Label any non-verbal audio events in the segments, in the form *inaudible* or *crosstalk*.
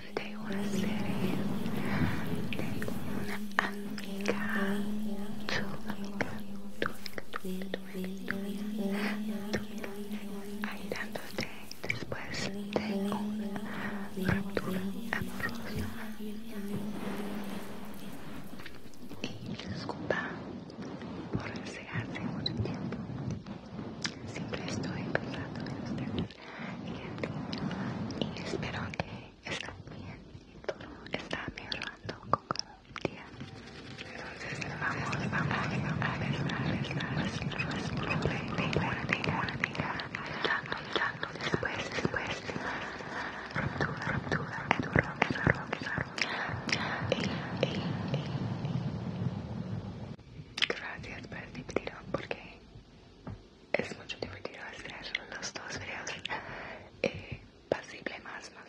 de una serie de una amiga, tu amiga, tu amiga, tu amiga, tu amiga, ayudándote después de una ruptura amorosa. Y disculpa por enseñarte mucho tiempo. Siempre estoy pensando en ustedes y espero que esté bien todo está mejorando con cada día. Entonces vamos, vamos, vamos a después, después, ruptura, ruptura, ruptura, Gracias por ver porque es mucho divertido hacer los dos videos y eh, pasible más más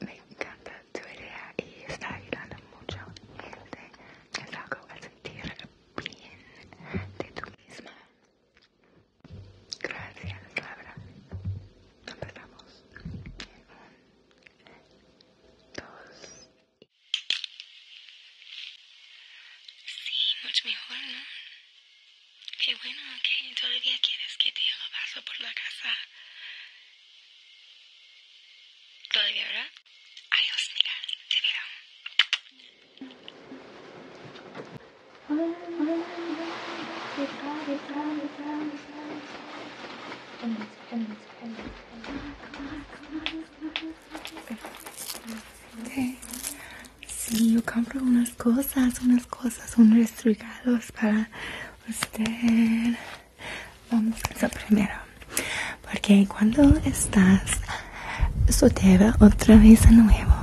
me encanta tu idea y está ayudando mucho gente es a sentir bien de tu misma gracias Laura empezamos un dos Sí, mucho mejor, ¿no? Qué bueno que todavía quieres que te lo paso por la casa. Todavía, ¿verdad? Adiós, mira, te veo. Si sí, yo compro unas cosas, unas cosas, unos regalos para usted. Vamos a eso primero. Porque cuando estás sotero otra vez de nuevo,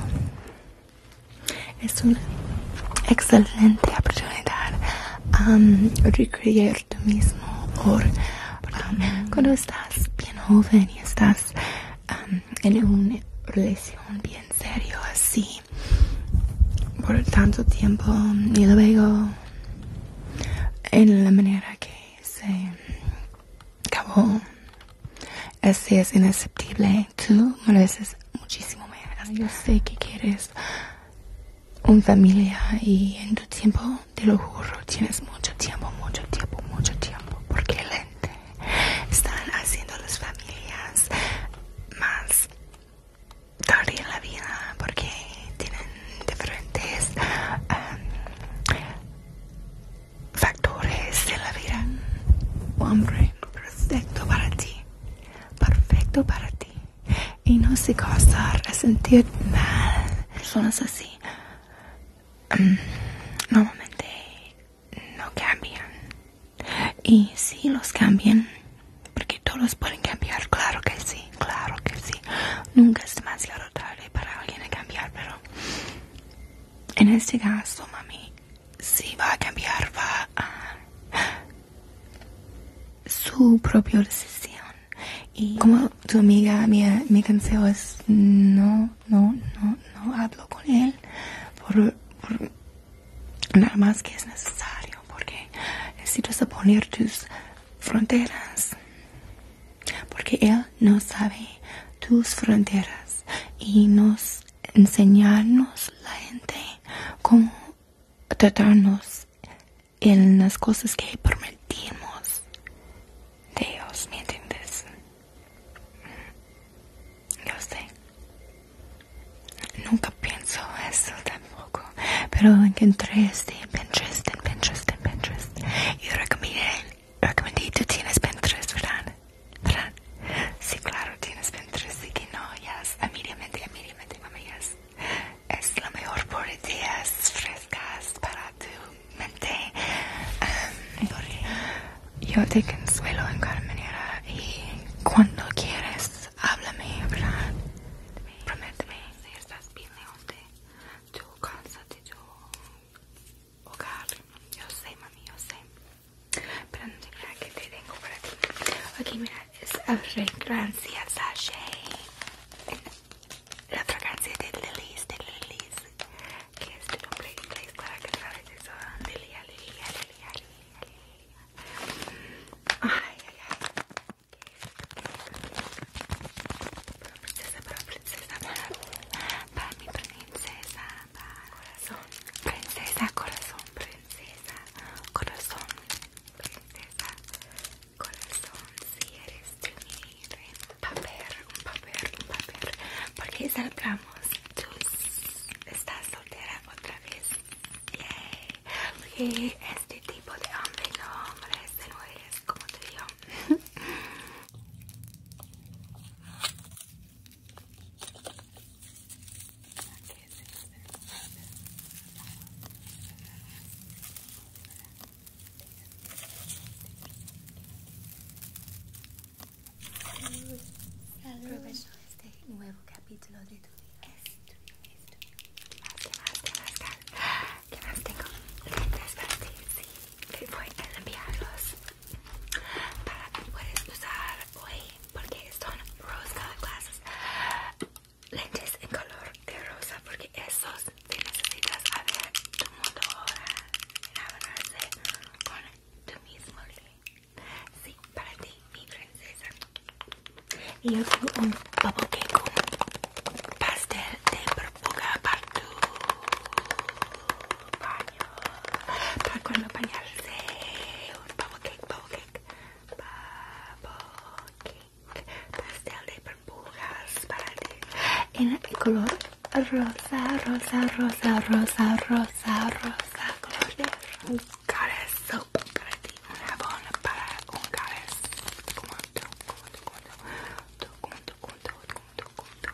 es una excelente oportunidad um, recrear tú mismo por, cuando estás bien joven y estás en una relación bien serio así por tanto tiempo y luego en la manera que se acabó así es inaceptible tú mereces muchísimo menos yo sé que quieres un familia y en tu tiempo, te lo juro, tienes mucho tiempo, mucho tiempo, mucho tiempo, porque lente están haciendo las familias más tarde en la vida, porque tienen diferentes um, factores de la vida. Hombre, perfecto para ti, perfecto para ti y no se causar a sentir mal. Personas así mm, normalmente no cambian. Y si los cambian, porque todos pueden cambiar, claro que sí, claro que sí. Nunca es demasiado tarde para alguien a cambiar, pero en este caso, mami, si va a cambiar, va a su propia decisión. Y como tu amiga, mi, me es no, no, no, no hablo con él por, nada más que es necesario, porque necesitas poner tus fronteras, porque él no sabe tus fronteras y nos enseñarnos la gente cómo tratarnos en las cosas que prometimos Dios, ¿me entiendes? Mm, yo sé. Nunca pienso eso tampoco. Pero encontré este en Pinterest, en Pinterest, en Pinterest. Y recomendé, recomendé, tú tienes Pinterest, ¿verdad? ¿Verdad? Sí, claro, tienes Pinterest. Y que no, ya, yes. a Mami, Es la mejor por ideas frescas para tu mente. yo te consuelo en cada manera y cuando quieres, háblame, ¿verdad? Prométeme si estás bien lejos de tu casa, de tu hogar. Yo sé, mami, yo sé. Pero mira que te tengo para ti. Ok, mira, es la fragancia Sashay. La fragrancia de Lilies, de Lilies. Que es tu nombre inglés, claro que sabes eso. Lilia, Lilia, Lilia, Lilia, Lilia. Ay, ay, ay. Para princesa, para princesa, para mi corazón, princesa, corazón, princesa, corazón, princesa, corazón, si eres de mí, un papel, un papel, un papel, porque salgamos, tú estás soltera otra vez, Y este tipo de hombre no, hombres este no eres como tú digo. *laughs* este nuevo capítulo de tu vida. ¿Qué más, qué más, qué más? tengo? ¿Qué voy a enviarlos para que puedes usar hoy porque son rose color glasses lentes en color de rosa porque esos te necesitas a ver tu mundo ahora abonarse con tu mismo sí para ti mi princesa y yo tengo un bubble cake pastel de purpura para tu para cuando bañarse. Un bubble cake, cake, Pastel de burbujas para ti. En color rosa, rosa, rosa, rosa, rosa, rosa. Color un para un Como como como como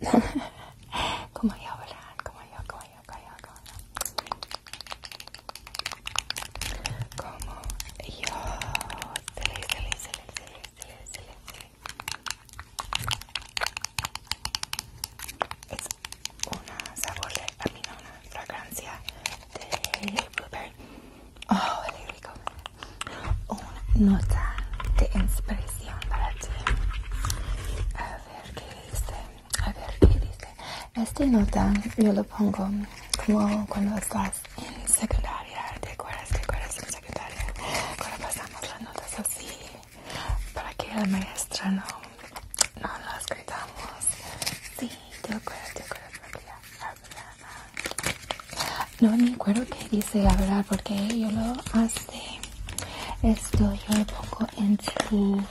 *laughs* Como yo, jou Como yo, como yo, yo, Como yo, Es sabor de una fragancia de este, blueberry. Oh, qué rico. Una nota de inspiración para ti. A ver qué dice. A ver qué dice. Esta nota yo lo pongo como cuando estás en secundaria. ¿Te acuerdas? ¿Te acuerdas en secundaria? Cuando pasamos las notas así para que la maestra no, no las gritamos. Sí, te acuerdas, te acuerdas. No me acuerdo qué dice la verdad porque yo lo hace esto yo lo pongo en su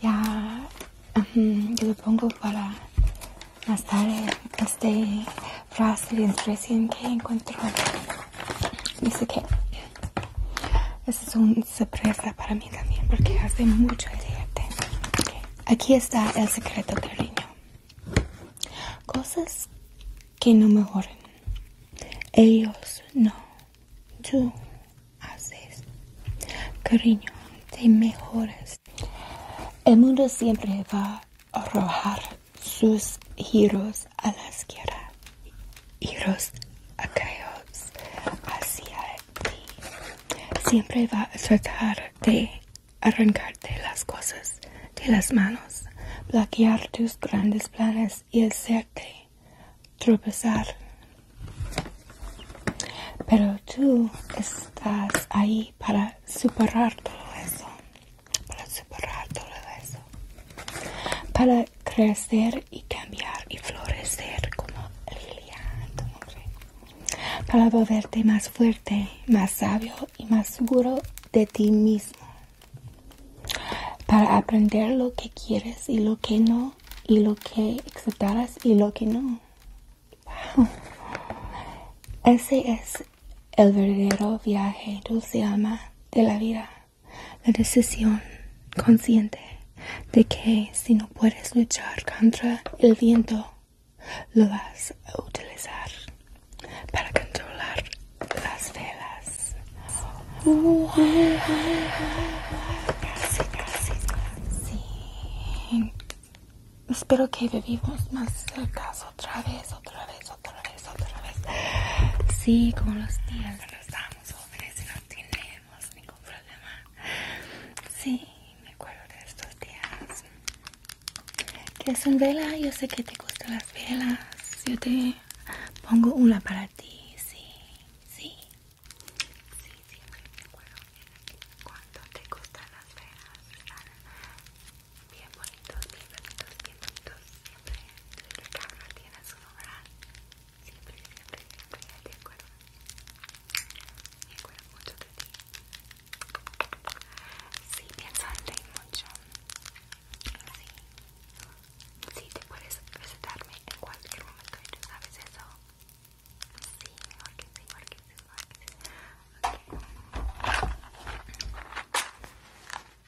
ya yo lo pongo para estar este frase de recién que encuentro dice que este es un sorpresa para mí también porque hace mucho dieta. Aquí está el secreto cariño. Cosas que no mejoren. Ellos no. Tú haces. Cariño, te mejoras. El mundo siempre va a arrojar sus giros a la izquierda, giros aquellos hacia siempre va a tratar de arrancarte las cosas de las manos, bloquear tus grandes planes y hacerte tropezar. Pero tú estás ahí para superar todo eso, para superar todo eso, para crecer y cambiar y florecer como Lilian, para volverte más fuerte, más sabio y más seguro de ti mismo, para aprender lo que quieres y lo que no, y lo que aceptarás y lo que no. *laughs* Ese es el verdadero viaje dulce alma de la vida la decisión consciente de que si no puedes luchar contra el viento, lo vas a utilizar para controlar las velas. casi, casi, Espero que vivimos más cerca otra vez, otra vez, otra vez, otra vez. Sí, como los días cuando estamos jóvenes y no tiene sin ningún problema. Sí, me acuerdo de estos días. Que un vela? yo sé que te gustan las velas. Yo te pongo una para ti, sí, sí. Sí, siempre me acuerdo. Cuando te gustan las velas, están bien bonitos, bien bonitos, bien bonitos. Siempre. Carla tiene su lugar siempre, siempre, te mucho de ti. Sí, pienso en ti mucho. Sí. Sí, te puedes visitarme en cualquier momento sabes eso. Sí,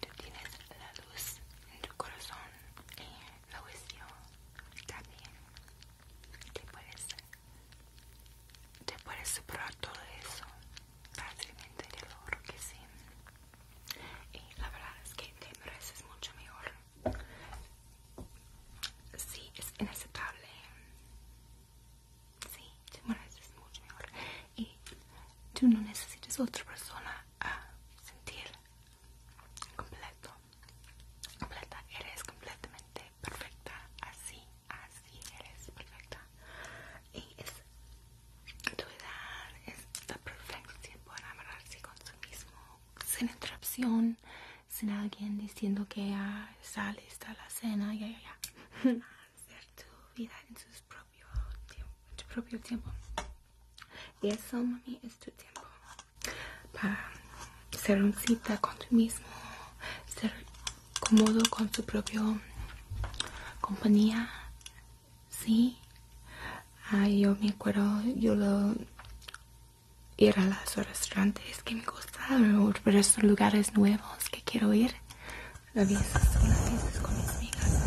Tú tienes la luz en tu corazón y la visión también. Te puedes, te puedes superar todo eso fácilmente de lo que sí. Y la verdad es que te mereces mucho mejor. Sí, es inaceptable Sí, te mereces mucho mejor. Y tú no necesitas otra persona a sentir completo. Completa, eres completamente perfecta. Así, así eres perfecta. Y es tu edad, es la perfección para amarrarse con sí mismo, sin interrupción. Sin alguien diciendo que ya está la cena, ya, ya, ya. Hacer tu vida en, propio tu propio tiempo. Y eso, mami, es tu tiempo. Para ser un cita con tu mismo, ser cómodo con tu propia compañía. Sí. Ah, yo me acuerdo, yo lo ir a los restaurantes que me gustan o a lugares nuevos que quiero ir. con mis amigas.